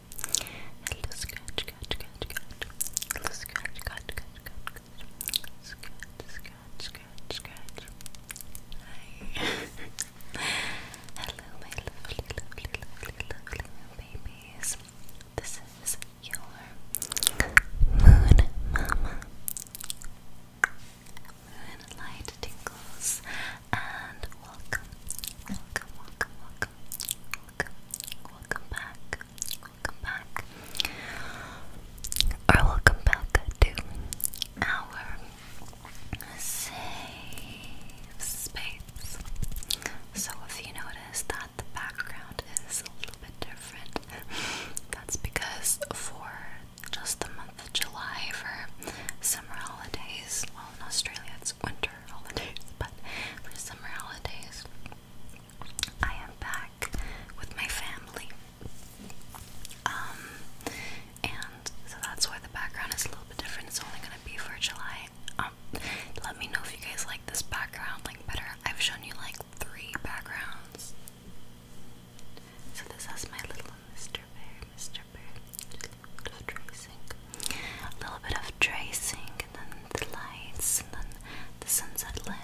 Hello, scratch, scratch, scratch, scratch. Hello, scratch, scratch, scratch, scratch, scratch. Scratch, scratch, scratch, Hi. Hello, my lovely, lovely, lovely, lovely new babies. This is your moon mama. Moonlight tingles and welcome, welcome, welcome, welcome, welcome, back, welcome back, or welcome back to our safe space. So, if you notice that the background is a little bit different, that's because for just the month of July, for summer holidays, well, in Australia it's winter holidays, but for summer holidays, I am back with my family. Um, and so that's why the background is a little bit different. It's only gonna be for July. Um, let me know if you guys like this background like better. I've shown you like three backgrounds. So this has my little Mr. Bear, Mr. Bear, just tracing a little bit of tracing, and then the lights, and then the sunset lamp.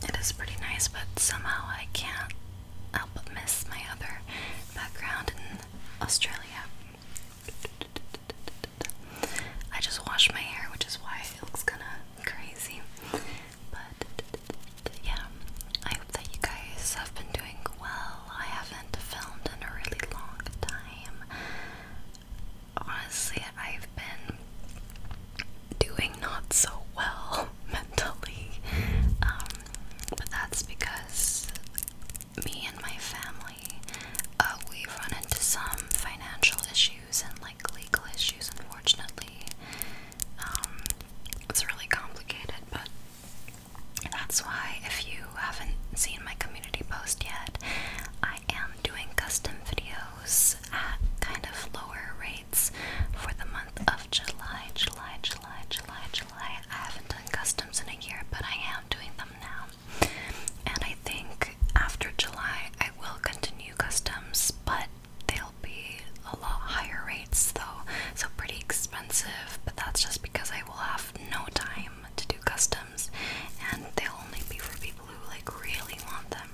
And it is pretty nice, but somehow I can't help but miss my other background in Australia. I just washed my hair, which is why it looks kind of crazy. But yeah, I that you guys have been doing well. I haven't filmed in a really long time. Honestly, I've been doing not so well mentally, um, but that's because me and my family uh, we run into some financial issues and like legal issues. Unfortunately, um, it's really complicated, but that's why, if you haven't seen my community post yet, I am doing custom videos at kind of lower rates for the month of July. July, July, July, July. I haven't done customs in a year, but I am doing them now. And I think after July, I will continue customs, but they'll be a lot higher it's though, so pretty expensive, but that's just because I will have no time to do customs and they'll only be for people who like really want them.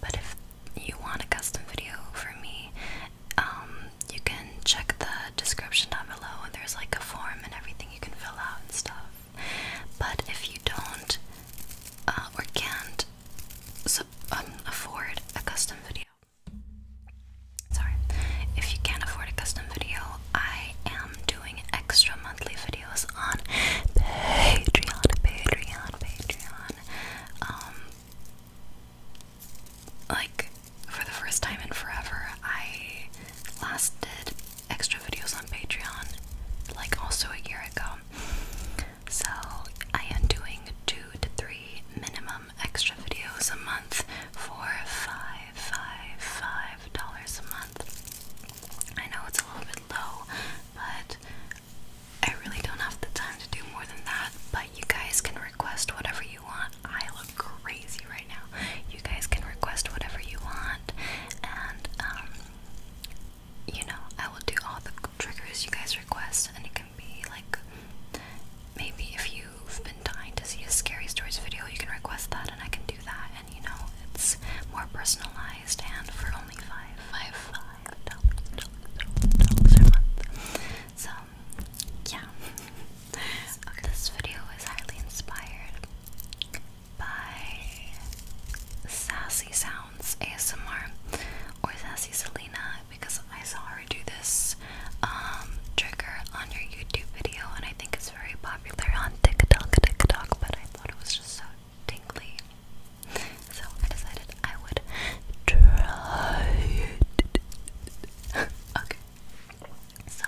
But if you want a custom video for me, um, you can check the description down below. And There's like a form and everything you can fill out and stuff. But if you don't uh, or can't so, um, afford a custom video, Sorry. If you can't afford a custom video, I am doing extra monthly videos on Patreon, Patreon, Patreon. Um like for the first time in forever, I last did extra videos on Patreon like also a year ago. So I am doing two to three minimum extra videos a month for five, five, five dollars a month. I know it's a little bit low, but I really don't have the time to do more than that. But you guys can request whatever you want. I look crazy right now. You guys can request whatever you want, and um, you know, I will do all the triggers you guys request, and you can can like maybe if you've been dying to see a scary stories video you can request that and I can do that and you know it's more personalized and for only five five five dollars dollars a month. So yeah. This video is highly inspired by Sassy Sounds ASMR or Sassy Selena because I saw her do this um, trigger on your YouTube video, and I think it's very popular on TikTok, TikTok. But I thought it was just so tingly, so I decided I would try it. okay, so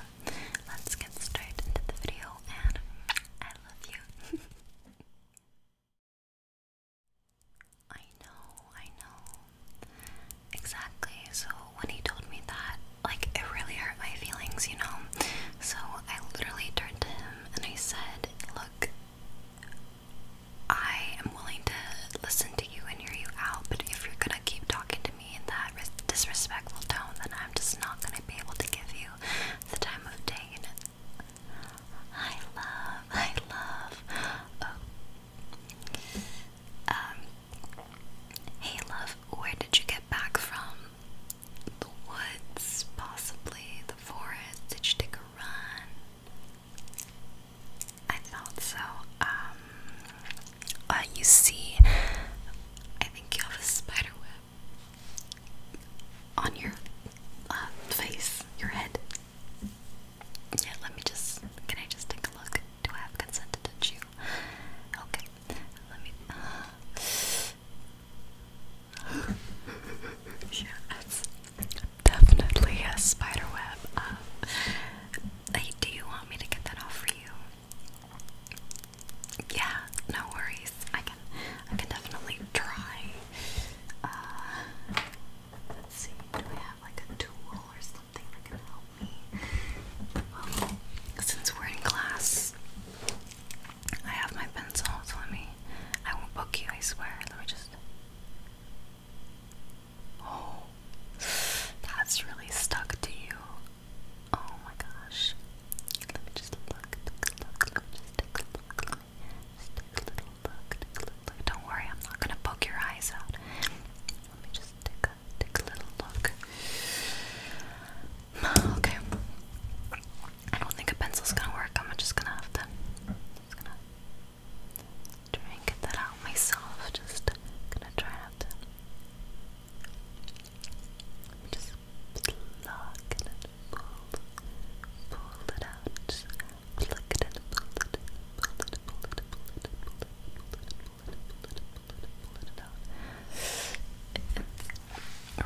let's get straight into the video, and I love you. I know, I know. Exactly. So when he told me that, like, it really hurt my feelings, you know? So I literally turned to him and I said, Look, I am willing to listen to you and hear you out, but if you're gonna keep talking to me in that disrespectful tone, then I'm just not gonna be able to give you the time of day. I love, I love. Oh, um, hey love, where did you get back from? The woods, possibly the forest. Did you take a run? I thought so. Um, uh, you see, I think you have a spider web on your uh, face, your head. Yeah, let me just. Can I just take a look? Do I have consented to chew? Okay, let me. Uh, definitely a spider web. hey, um, do you want me to get that off for you? Yeah, no worries. I can, I can definitely try. Uh, let's see. Do I like a tool or something that can help me. since we're in class, I have my pencil, so me. I won't poke you, I swear. Let me just. Oh, that's really stuck to you. Oh my gosh. Let me just look, take a little look, take a little look. Don't worry, I'm not gonna poke your eyes out. Let me just take a take a little look. Okay. I don't think a pencil's gonna work. I'm just gonna have to just gonna try and that out myself. Just gonna try to just pull it out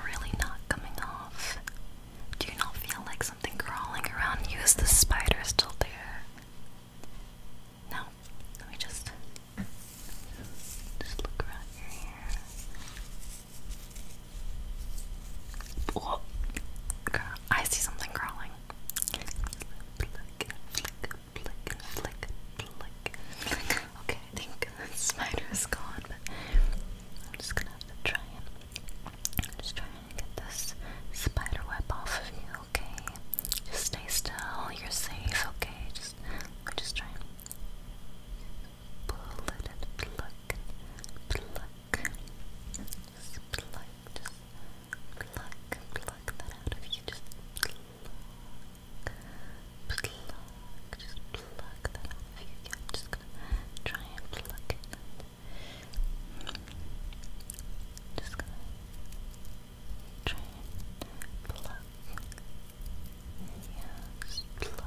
really not coming off. Do you not feel like something crawling around Is the spider still there? No. Let me just just look around your hair. Oh, God. I see something crawling. Okay, I think the spider is gone, but I'm just gonna have to try and just trying to get this spider off of you, okay? Just stay still, you're safe, okay? Just we're just trying just pluck, pluck, pluck that out of you. Just pluck, pluck, pluck that out of you. just try and pluck it. Just gonna try and pluck. Yeah, pluck. Just gonna try and pluck.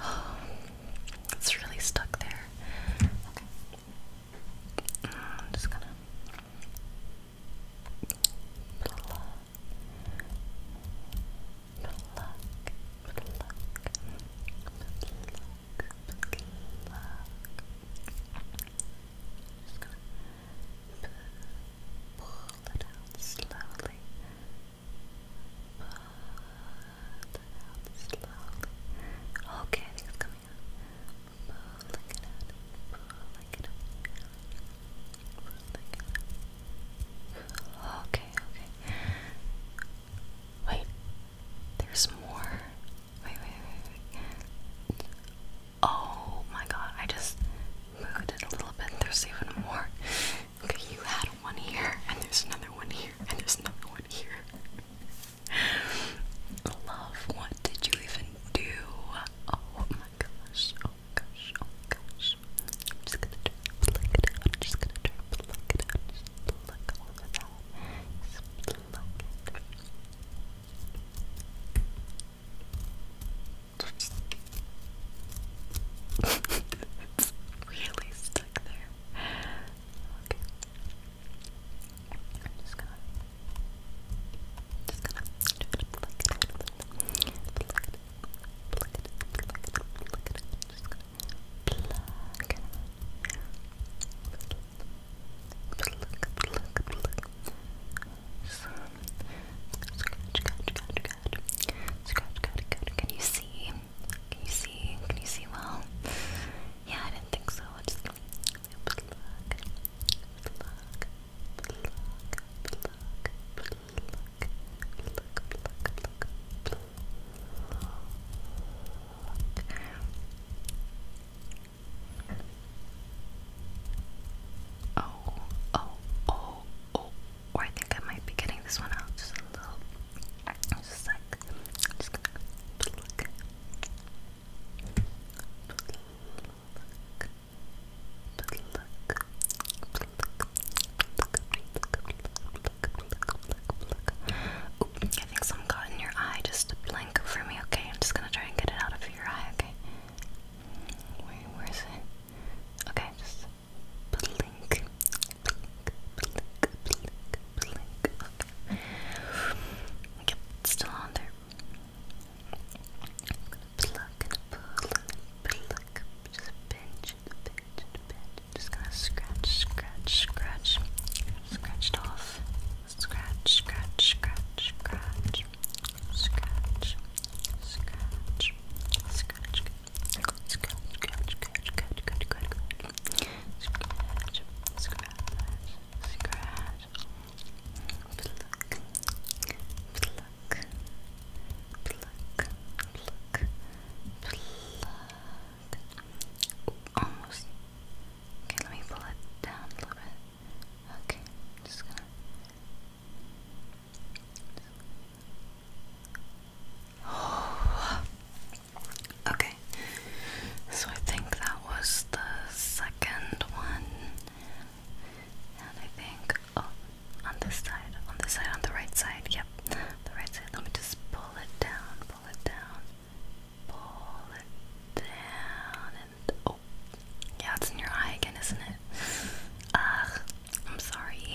Oh, it's really stuck there. Okay. I'm just gonna. pull it Pull it Pull it Pull it Pull it Pull it out slowly. Pull Pull it out slowly. Pull slowly. Okay, I think it's coming out. Okay, okay. Wait. There's more. Wait, wait, wait, wait. Oh my god, I just moved it a little bit. There's even more. Okay, you had one here, and there's another one here, and there's another one here. Love, what did you even do? Oh my gosh, oh gosh, oh gosh. I'm just gonna try to pluck I'm just gonna try to pluck it out. Just Just pluck it. it's really stuck there. I'm just gonna just gonna pluck it, pluck it, pluck it, pluck it, pluck it, pluck it, just gonna pluck it. Pluck, pluck, pluck. Some scratch, scratch, scratch, scratch. Scratch, scratch, scratch. Can you see? Can you see? Can you see well? Yeah, I didn't think so. I just look, look, look, look, look, look, look, look. Oh, oh, oh, oh, or I think I might be getting this one out just a little. Just like, just gonna pluck, pluck, pluck, Ooh, I think some got in your eye. Just blink for me, okay? I'm just gonna try and get it out of your eye, okay? Wait, where is it? Okay, just still on there. Just pinch and pinch Just gonna scratch, scratch, scratch. Scratched off. Scratch, scratch, scratch, scratch. Scratch, scratch, scratch. Scratch, scratch, scratch, scratch, scratch, scratch, scratch, scratch, scratch, pluck, pluck, pluck, pluck, pluck. Ooh, almost. Okay, let me pull it down a little bit. Okay, just gonna. Oh. Okay, so I think that was the second one, and I think oh, on this side, on this side, on the right side. Yep, the right side. Let me just pull it down, pull it down, pull it down, and oh, yeah, it's in your eye again, isn't it? Ugh, I'm sorry.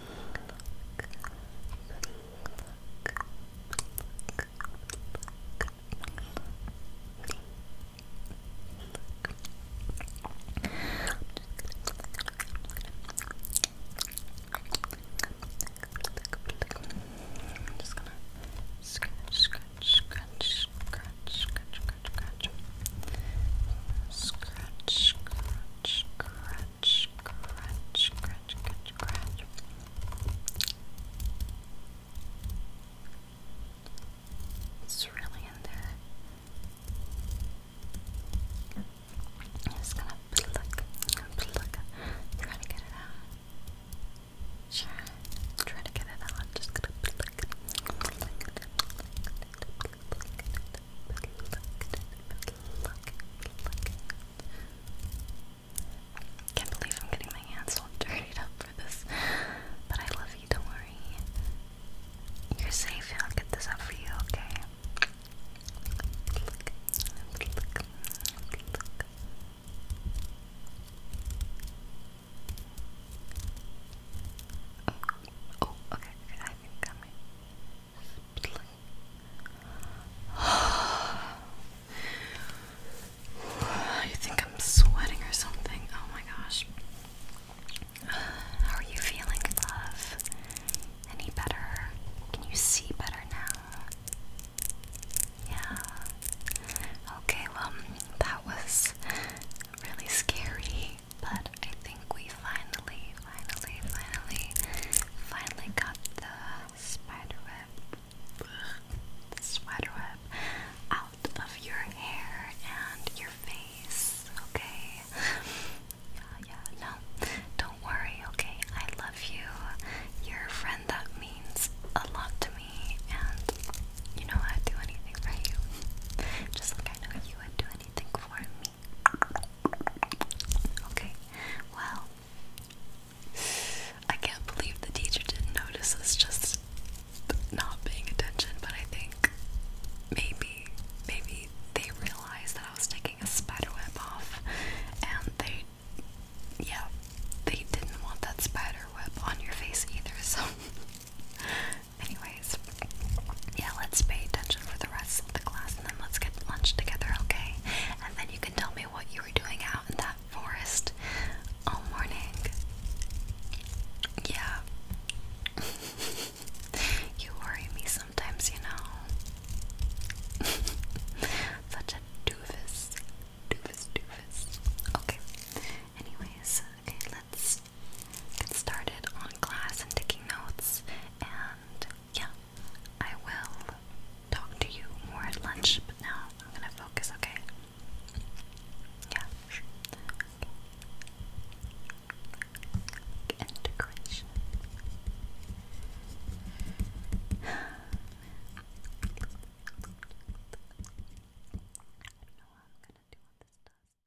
I'm just gonna scratch, scratch, scratch, scratch, scratch, scratch, scratch, scratch, scratch, scratch scratch, scratch, scratch, scratch, It's really in there. I'm just gonna pluck, pluck, try to get it out. Sure, try to get it out. just gonna pluck, pluck, can't believe I'm getting my hands all dirtied up for this. But I love you, don't worry. You're safe, I'll get this up for you, okay? Oh, okay, I think you think I'm sweating or something? Oh my gosh. How are you feeling, love? Any better? Can you see better now? Yeah. Okay, well, that was really scary but I think we finally, finally, finally, finally got the spider web, out of your hair and your face, okay? Yeah, uh, yeah, no, don't worry, okay? I love you. You're a friend that means a lot to me, and you know I'd do anything for you. Just like I know you would do anything for me. Okay, well, I can't believe the teacher didn't notice us just not paying attention, but I think maybe, maybe they realized that I was taking a spider web off and they, yeah, they didn't want that spider web on your face either, so Anyways, yeah, let's pay attention for the rest of the class and then let's get lunch together, okay? And then you can tell me what you were doing out in that forest all morning. Yeah. you worry me sometimes, you know. Such a doofus. Doofus, doofus. Okay. Anyways, okay, let's get started on class and taking notes. And yeah, I will talk to you more at lunch, but now I'm gonna focus, okay? Yeah, Integration. I don't know how I'm gonna do what this does.